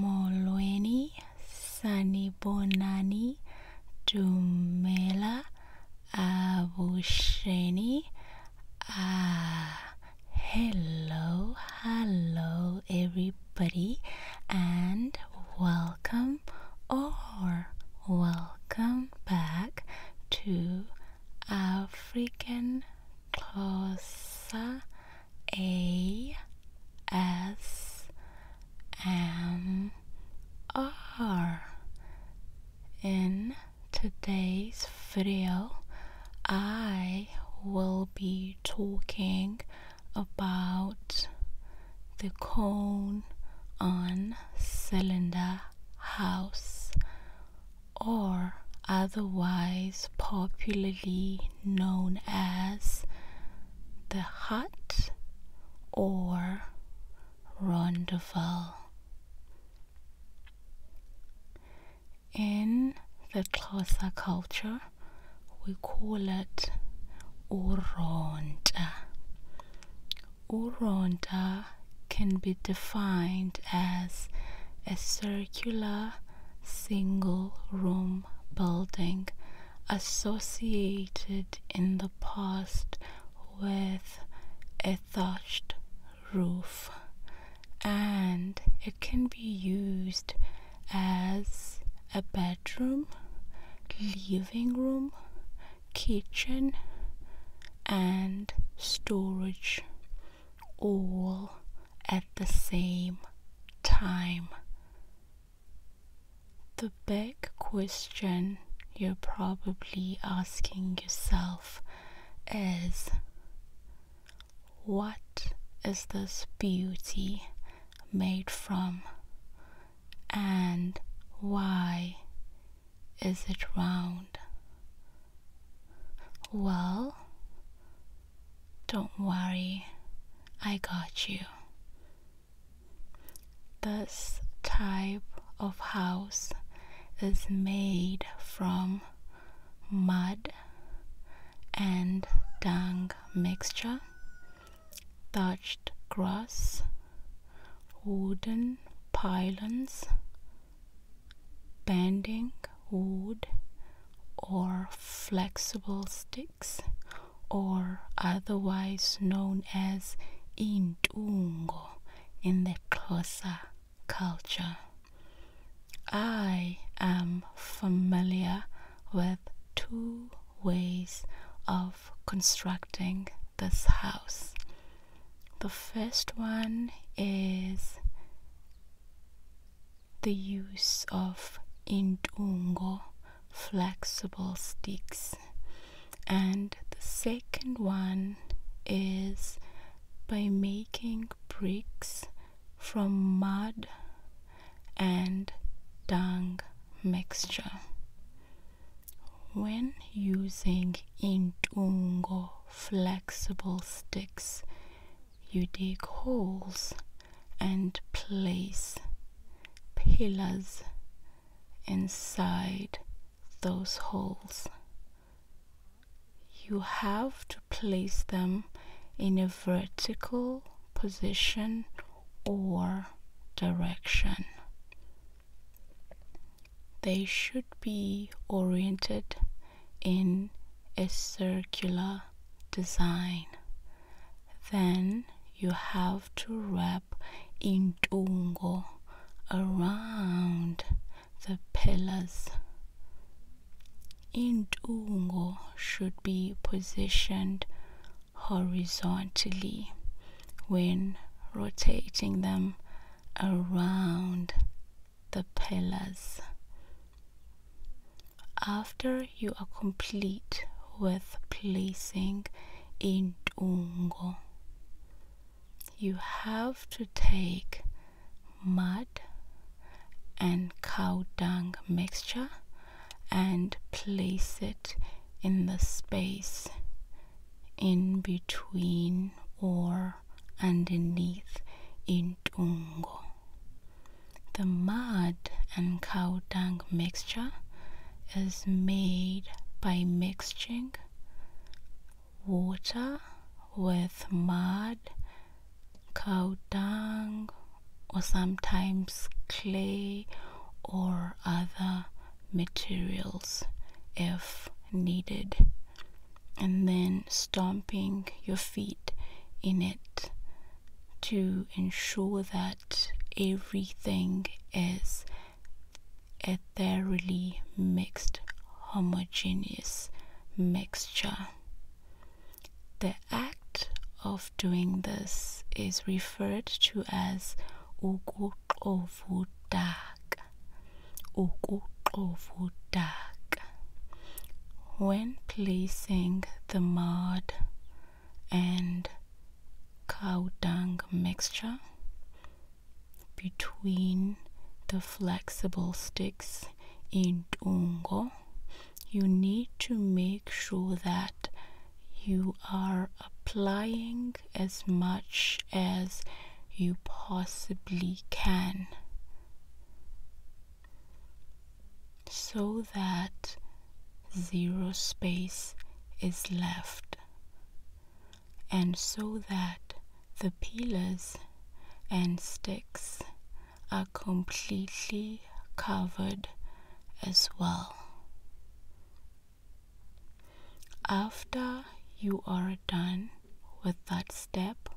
Molweni sanibonani dumela avusheni. Ah, hello, hello, everybody, and welcome or welcome back to African Closer a S M R. In today's video, I will be talking about the cone on cylinder house or otherwise popularly known as the hut or rondevel. In the Xhosa culture, we call it uronta. Uronta can be defined as a circular single room building associated in the past with a thatched roof and it can be used as a bedroom, living room, kitchen, and storage all at the same time. The big question you're probably asking yourself is what is this beauty made from and why is it round? Well, don't worry, I got you. This type of house is made from mud and dung mixture, thatched grass, wooden pylons, bending wood or flexible sticks or otherwise known as intungo in the Kosa culture. I am familiar with two ways of constructing this house. The first one is the use of indungo flexible sticks and the second one is by making bricks from mud and dung mixture when using indungo flexible sticks you dig holes and place pillars inside those holes. You have to place them in a vertical position or direction. They should be oriented in a circular design. Then you have to wrap intungo around the pillars. Intungo should be positioned horizontally when rotating them around the pillars. After you are complete with placing intungo, you have to take mud and cow dung mixture and place it in the space in between or underneath in Tungo. The mud and cow dung mixture is made by mixing water with mud, cow dung, or sometimes clay or other materials if needed and then stomping your feet in it to ensure that everything is a thoroughly mixed homogeneous mixture. The act of doing this is referred to as ukuqovudak. Ukuqovudak. When placing the mud and cow dung mixture between the flexible sticks in dungo, you need to make sure that you are applying as much as you possibly can so that zero space is left and so that the peelers and sticks are completely covered as well. After you are done with that step,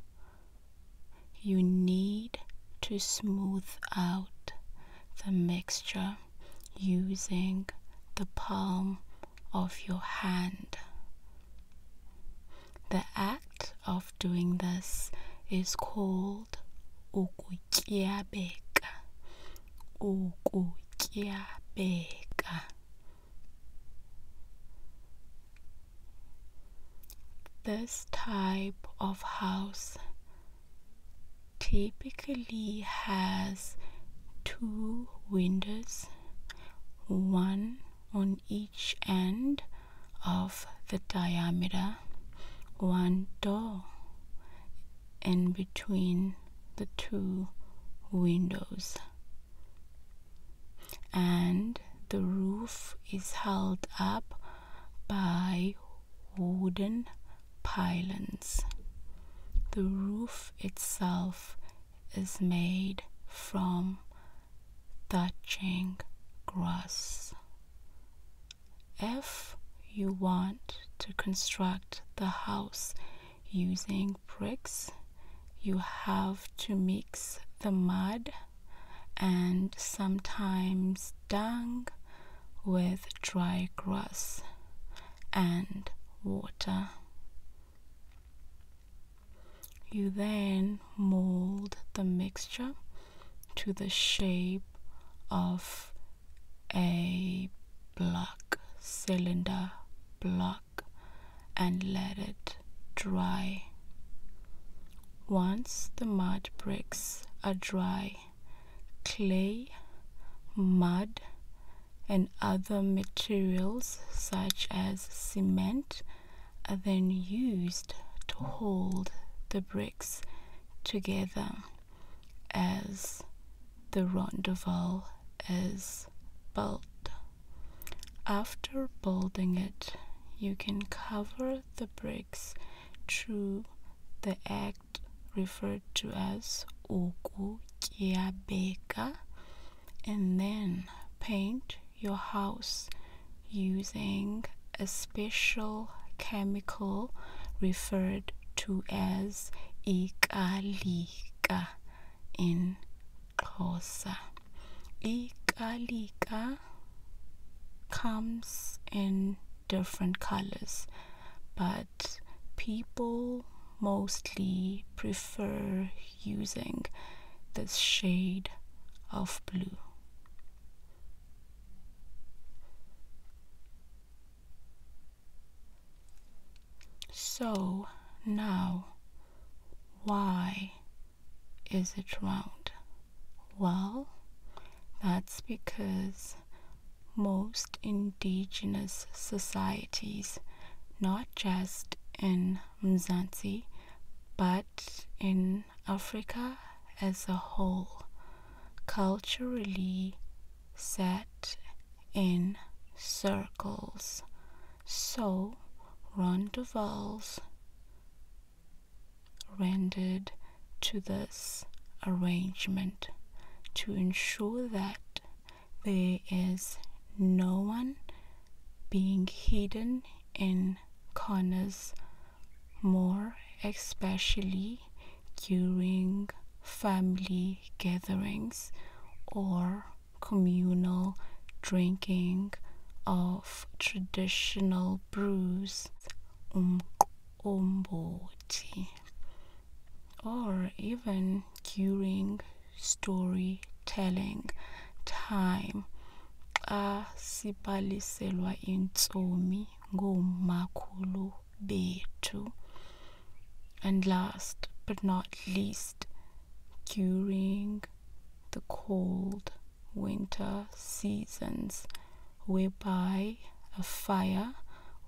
you need to smooth out the mixture using the palm of your hand. The act of doing this is called ukutyabeka. Ukutyabeka. This type of house typically has two windows, one on each end of the diameter, one door in between the two windows and the roof is held up by wooden pylons. The roof itself is made from touching grass. If you want to construct the house using bricks, you have to mix the mud and sometimes dung with dry grass and water. You then mold the mixture to the shape of a block cylinder block and let it dry. Once the mud bricks are dry, clay, mud, and other materials such as cement are then used to hold the bricks together as the rondavel is built. After building it, you can cover the bricks through the act referred to as beka, and then paint your house using a special chemical referred to as ikalika in Xhosa. Ikalika comes in different colors, but people mostly prefer using this shade of blue. So now, why is it round? Well, that's because most indigenous societies, not just in Mzansi, but in Africa as a whole, culturally set in circles so Ron Duval's rendered to this arrangement to ensure that there is no one being hidden in corners more especially during family gatherings or communal drinking of traditional brews, umkomboti, or even during storytelling time. a sibali asibaliselwa intsomi ngoomakhulu bethu and last but not least during the cold winter seasons, whereby a fire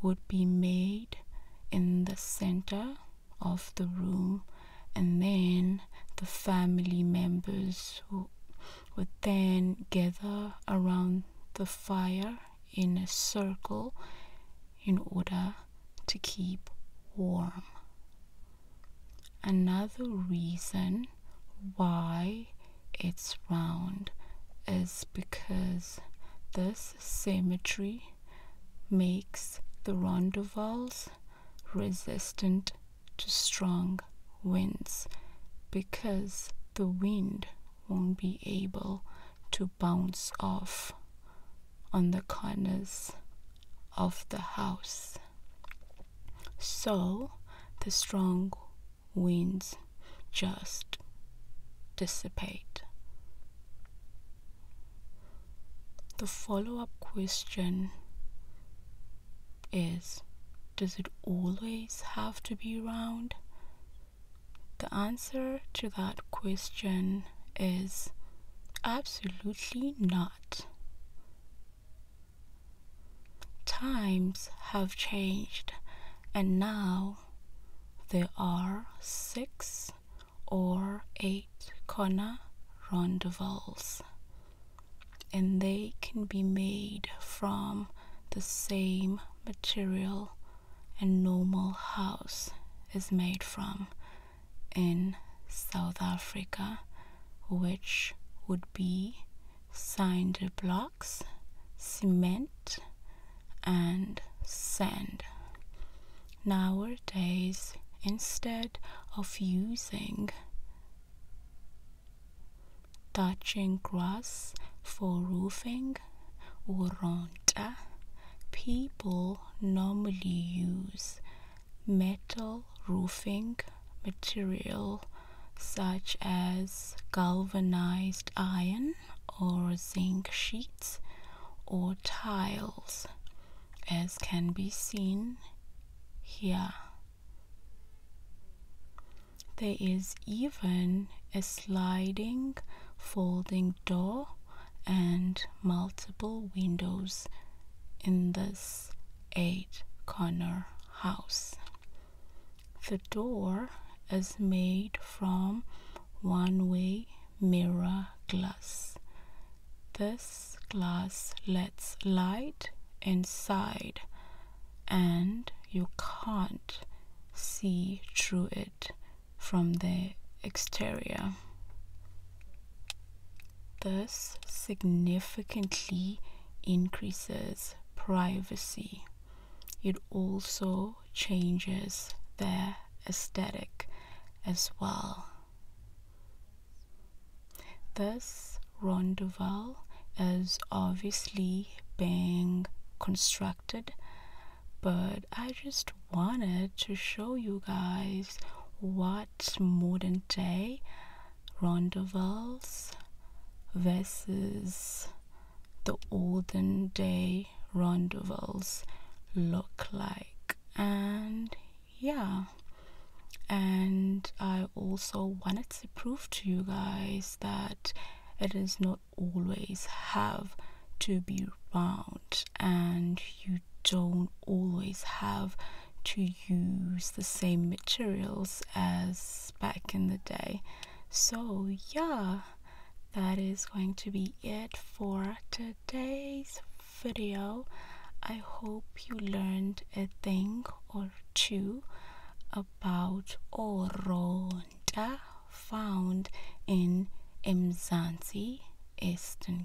would be made in the center of the room, and then the family members would then gather around the fire in a circle in order to keep warm. Another reason why it's round is because this symmetry makes the rondavels resistant to strong winds because the wind won't be able to bounce off on the corners of the house. So the strong winds just dissipate. The follow up question is Does it always have to be round? The answer to that question is absolutely not. Times have changed, and now there are six or eight corner rondavels, and they can be made from the same material a normal house is made from, in South Africa, which would be sand blocks, cement, and sand. Nowadays, instead of using touching grass for roofing or ronta, people normally use metal roofing material such as galvanized iron or zinc sheets or tiles as can be seen here. There is even a sliding folding door and multiple windows in this eight corner house. The door is made from one way mirror glass. This glass lets light inside and you can't see through it from the exterior. Thus, significantly increases privacy. It also changes their aesthetic as well. This rondeval is obviously being constructed, but I just wanted to show you guys why modern day rendezvous versus the olden day rendezvous look like and yeah and i also wanted to prove to you guys that it does not always have to be round and you don't always have to use the same materials as back in the day. So, yeah, that is going to be it for today's video. I hope you learned a thing or two about Oronda found in Mzansi, Eastern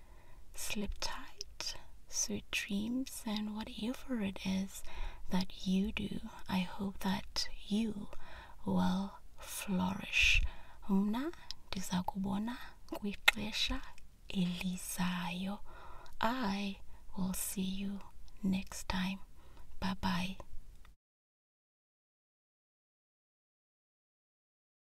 Sleep tight, sweet dreams, and whatever it is that you do, I hope that you will flourish. Mna ndiza kubona elizayo. I will see you next time. Bye bye.